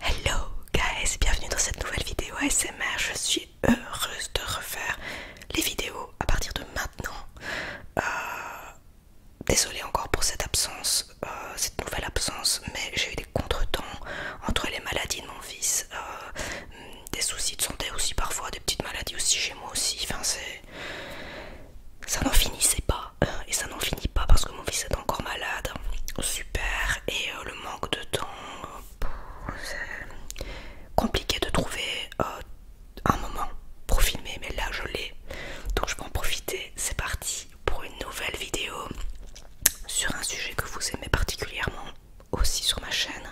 Hello guys, bienvenue dans cette nouvelle vidéo ASMR. Je suis heureuse de refaire les vidéos à partir de maintenant. Euh, désolée encore pour cette absence, euh, cette nouvelle absence, mais j'ai eu des contretemps entre les maladies de mon fils, euh, des soucis de santé aussi parfois, des petites maladies aussi chez moi aussi. Enfin, c'est ça n'en finissait pas. Euh, et ça n'en finit pas parce que mon fils est encore malade. Super, et euh, le manque de temps, euh, c'est compliqué de trouver un moment pour filmer, mais là je l'ai, donc je vais en profiter. C'est parti pour une nouvelle vidéo sur un sujet que vous aimez particulièrement aussi sur ma chaîne,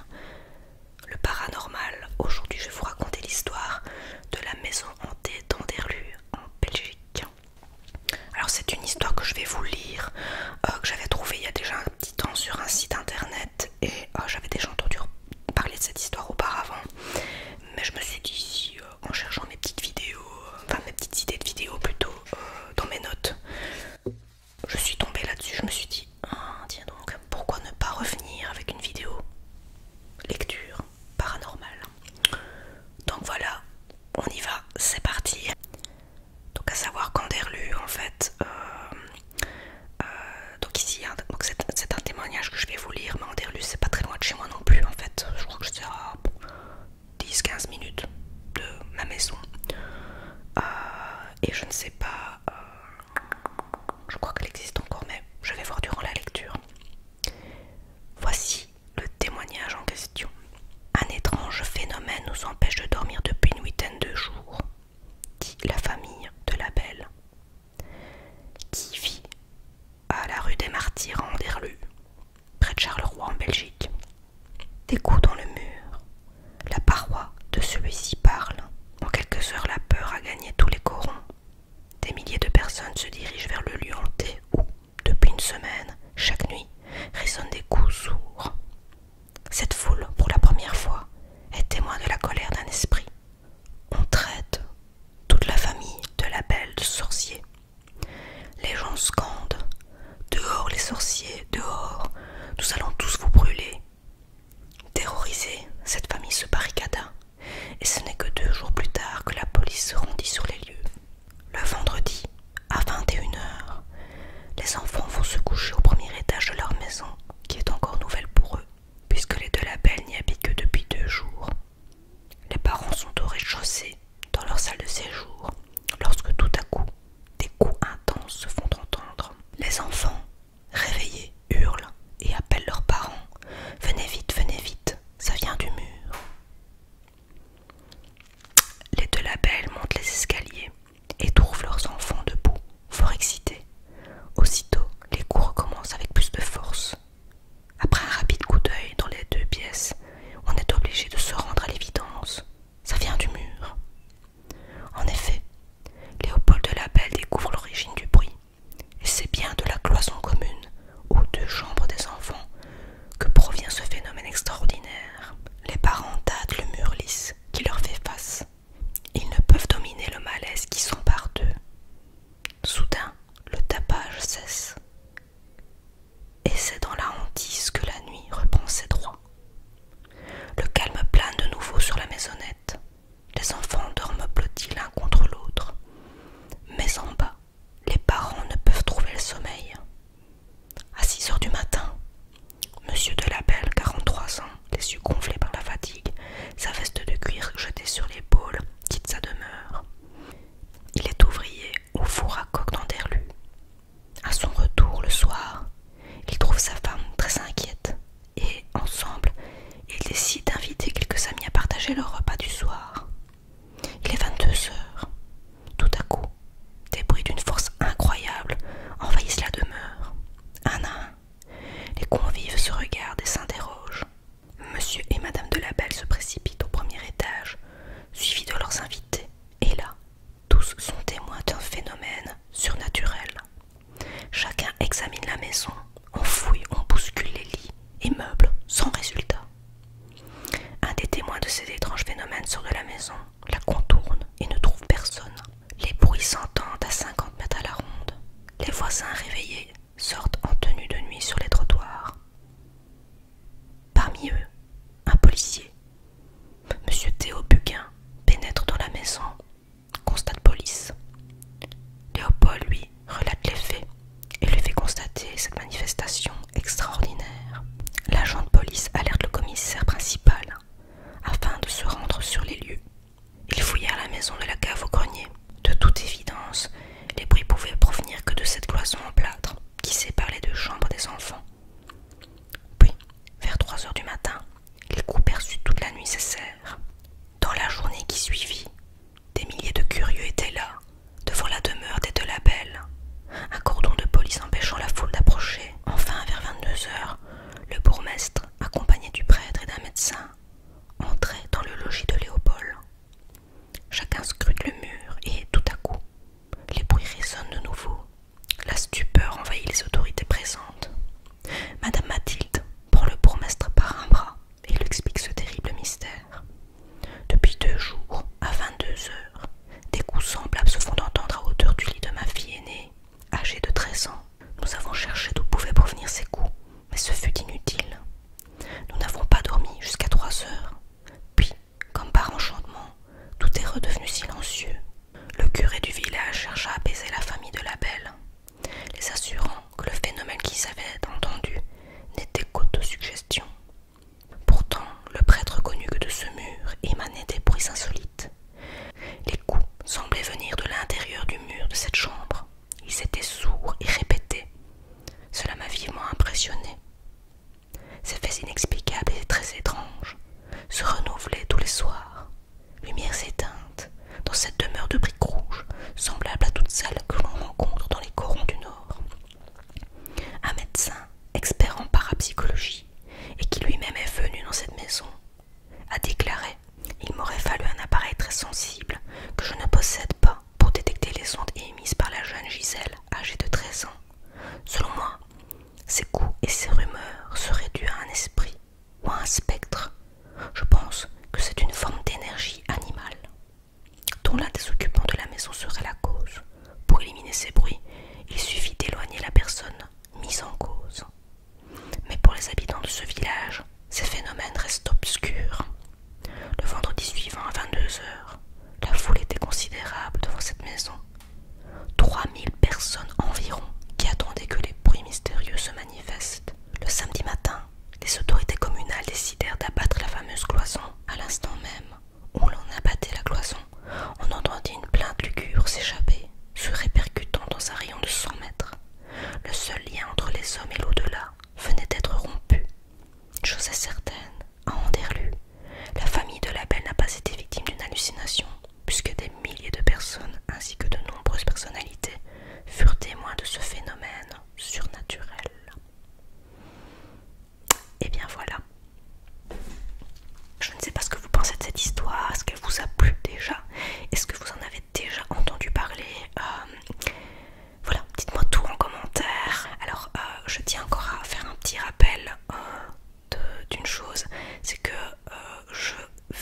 le paranormal. Aujourd'hui, je vais vous raconter l'histoire de la maison hantée d'Anderlu en Belgique. Alors c'est une histoire que je vais vous lire, euh, que j'avais trouvée il y a déjà un petit temps sur un site internet et euh, j'avais déjà entendu parler de cette histoire auparavant. Mais je me suis dit euh, en cherchant mes petites vidéos, enfin mes petites idées de vidéos plutôt dans mes notes, je suis tombée là-dessus, je me suis dit, ah, tiens donc, pourquoi ne pas revenir avec une vidéo lecture paranormal. Donc voilà, on y va, c'est parti. Donc à savoir qu'Anderlu en fait, euh, euh, donc ici, hein, c'est un témoignage que je vais vous lire, mais Anderlu c'est pas très loin de chez moi non plus, en fait. Je crois que c'est à 10-15 minutes de ma maison. Euh, et je ne sais pas, je crois qu'elle existe encore, mais je vais voir durant la lecture. Voici le témoignage en question. Un étrange phénomène nous empêche de dormir depuis une huitaine de jours, dit la famille de la Belle, qui vit à la rue des Martyrs en Anderlu, près de Charleroi en Belgique. Des coups dans le mur, la paroi de celui-ci parle. En quelques heures, la peur a gagné tous les corons. Des milliers de personnes se dirigent vers le lieu hanté où, depuis une semaine, chaque nuit, résonnent des coups sourds. Cette foule, pour la première fois, est témoin de la colère d'un esprit. On traite toute la famille de la belle de Les gens scandent. Dehors les sorciers, dehors, nous allons tous vous brûler. Terrorisée, cette famille se barricada et ce n'est que deux jours plus tard que la police se rendit sur les lieux. Le vendredi, à 21h, les enfants vont se coucher au premier étage de leur maison, qui est encore nouvelle pour eux, puisque les deux labels n'y habitent que depuis deux jours. Les parents sont au rez-de-chaussée, dans leur salle de séjour, lorsque tout à coup, des coups intenses se font entendre. Les enfants, réveillés, hurlent et appellent leurs parents. Venez vite, venez vite. Ça vient du mur. Les deux labels montent les escaliers et trouvent leurs enfants debout, fort excités. Aussitôt, les coups commencent avec plus de force. Après un rapide coup d'œil dans les deux pièces, on est obligé de se rendre à l'évidence. Ça vient du mur. En effet, Léopold de Labelle découvre l'origine du bruit. Et c'est bien de la cloison commune, aux deux chambres des enfants, que provient ce phénomène extraordinaire. Les parents tâtent le mur lisse qui leur fait face. Ils ne peuvent dominer le malaise qui s'empare d'eux. Soudain, le tapage cesse. Et c'est dans la hantise que la nuit reprend ses droits. Le calme plane de nouveau sur la maisonnette. Les enfants dorment blottis l'un contre l'autre. Mais en bas, les parents ne peuvent trouver le sommeil. À 6 heures du matin, Monsieur Delabelle, 43 ans, les yeux gonflés par la fatigue, sa veste de cuir jetée sur l'épaule, quitte sa demeure. Il est ouvrier au four à coque dans À son retour le soir, il trouve sa femme très inquiète et ensemble, il décide d'inviter quelques amis à partager leur repas du soir. Il est 22 heures. Tout à coup, des bruits d'une force incroyable envahissent la demeure. Un à un, les convives se regardent et s'interrogent. Monsieur et Madame de la Belle se précipitent au premier étage, suivis de leurs invités. Et là, tous sont témoins d'un phénomène surnaturel. Chacun examine la maison, on fouille, on bouscule les lits et meubles sans résultat. Un des témoins de ces étranges phénomènes sort de la maison, la contourne et ne trouve personne. Les bruits s'entendent à 50 mètres à la ronde. Les voisins réveillés sortent en tenue de nuit sur les trottoirs. Parmi eux, un policier. Monsieur Théo Buquin pénètre dans la maison. constate police. Léopold, lui, relate les faits et lui fait constater cette manifestation extraordinaire. L'agent de police alerte le commissaire principal afin de se rendre sur les lieux. Ils fouillèrent la maison de la cave au grenier. De toute évidence, les bruits pouvaient provenir que de cette cloison en plâtre qui sépare les deux chambres des enfants. Puis, vers 3 heures du matin, coups perçus toute la nuit nécessaire. Dans la journée qui suivit, des milliers de curieux étaient là, devant la demeure des deux labels. Un cordon de police empêchant la foule d'approcher. Enfin, vers 22 heures, le bourgmestre, accompagné du prêtre et d'un médecin, entrait dans le logis de Léopold. Chacun scrute le mur et, tout à coup, les bruits résonnent de nouveau. La stupeur envahit les autorités présentes. Madame Mathilde prend le bourgmestre par un bras il explique ce terrible mystère. Depuis deux jours, à 22 heures, des coups semblables se font entendre à hauteur du lit de ma fille aînée, âgée de 13 ans. Nous avons cherché d'où pouvaient provenir ces coups, mais ce fut inutile. Nous n'avons pas dormi jusqu'à trois heures. Puis, comme par enchantement, tout est redevenu silencieux. Le curé du village cherche à apaiser la famille de la belle les assurant que le phénomène qu'ils avaient entendu n'était qu'auto-suggestion. Pourtant, le prêtre connut que de ce mur émanait des bruits insolites. Les coups semblaient venir de l'intérieur du mur de cette chambre. Ils étaient sourds et répétés. Cela m'a vivement impressionné. Ces faits inexplicables et très étranges se renouvelaient tous les soirs. Lumière éteintes, dans cette demeure de briques rouges, semblable à toutes celles que l'on rencontre dans les corons du Nord. Un médecin, expert en parapsychologie, et qui lui-même est venu dans cette maison, a déclaré Il m'aurait fallu un appareil très sensible que je ne possède pas pour détecter les ondes émises par la jeune Gisèle, âgée de 13 ans. Selon moi, ces coups et ces rumeurs seraient dus à un esprit ou un spectre. Je pense que c'est une forme d'énergie animale, dont l'un des occupants de la maison serait la cause. Pour éliminer ces bruits, il suffit d'éloigner la personne mise en cause. Mais pour les habitants de ce village, ces phénomènes restent obscurs. Le vendredi suivant à 22h, la foule était considérable devant cette maison. 3000 personnes environ qui attendaient que les bruits mystérieux se manifestent. Le samedi matin, les autorités communales décidèrent d'abattre la fameuse cloison à l'instant même où l'on abattait la cloison. On entendit une plainte lugubre s'échapper, se répercutant dans un rayon de 100 mètres. Le seul lien entre les hommes et l'au-delà venait d'être rompu. Chose certaine, à Anderlu, la famille de la Belle n'a pas été victime d'une hallucination, puisque des milliers de personnes ainsi que de nombreuses personnalités furent témoins de ce phénomène surnaturel. Et eh bien voilà. Je ne sais pas ce que vous pensez de cette histoire, est-ce qu'elle vous a plu déjà, est-ce que vous en avez déjà entendu parler euh, Voilà, dites-moi tout en commentaire. Alors, euh, je tiens encore à faire un petit rappel euh, d'une chose, c'est que je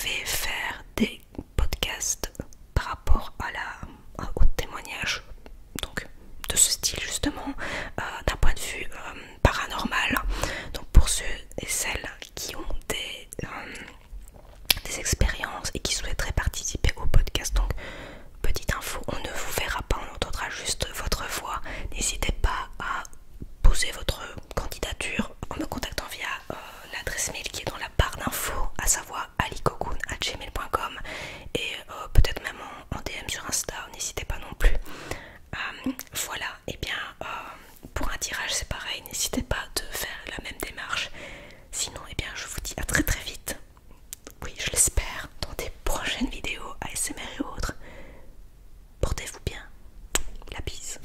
vais faire des podcast par rapport à la, au témoignage donc, de ce style justement euh, d'un point de vue euh, paranormal. Donc pour ceux et celles qui ont euh, des, expériences et qui souhaiteraient participer au podcast, donc petite info, on ne vous verra pas, on entendra juste votre voix. N'hésitez pas à poser votre candidature en me contactant via l'adresse mail qui est dans la part barre d'infos, à savoir alicocoon.gmail.com et euh, peut-être même en, DM sur Insta, n'hésitez pas non plus. Euh, voilà, et eh bien euh, pour un tirage c'est pareil, n'hésitez pas de faire la même démarche. Sinon, et eh bien je vous dis à très très vite, oui je l'espère, dans des prochaines vidéos ASMR et autres. Portez-vous bien, la bise.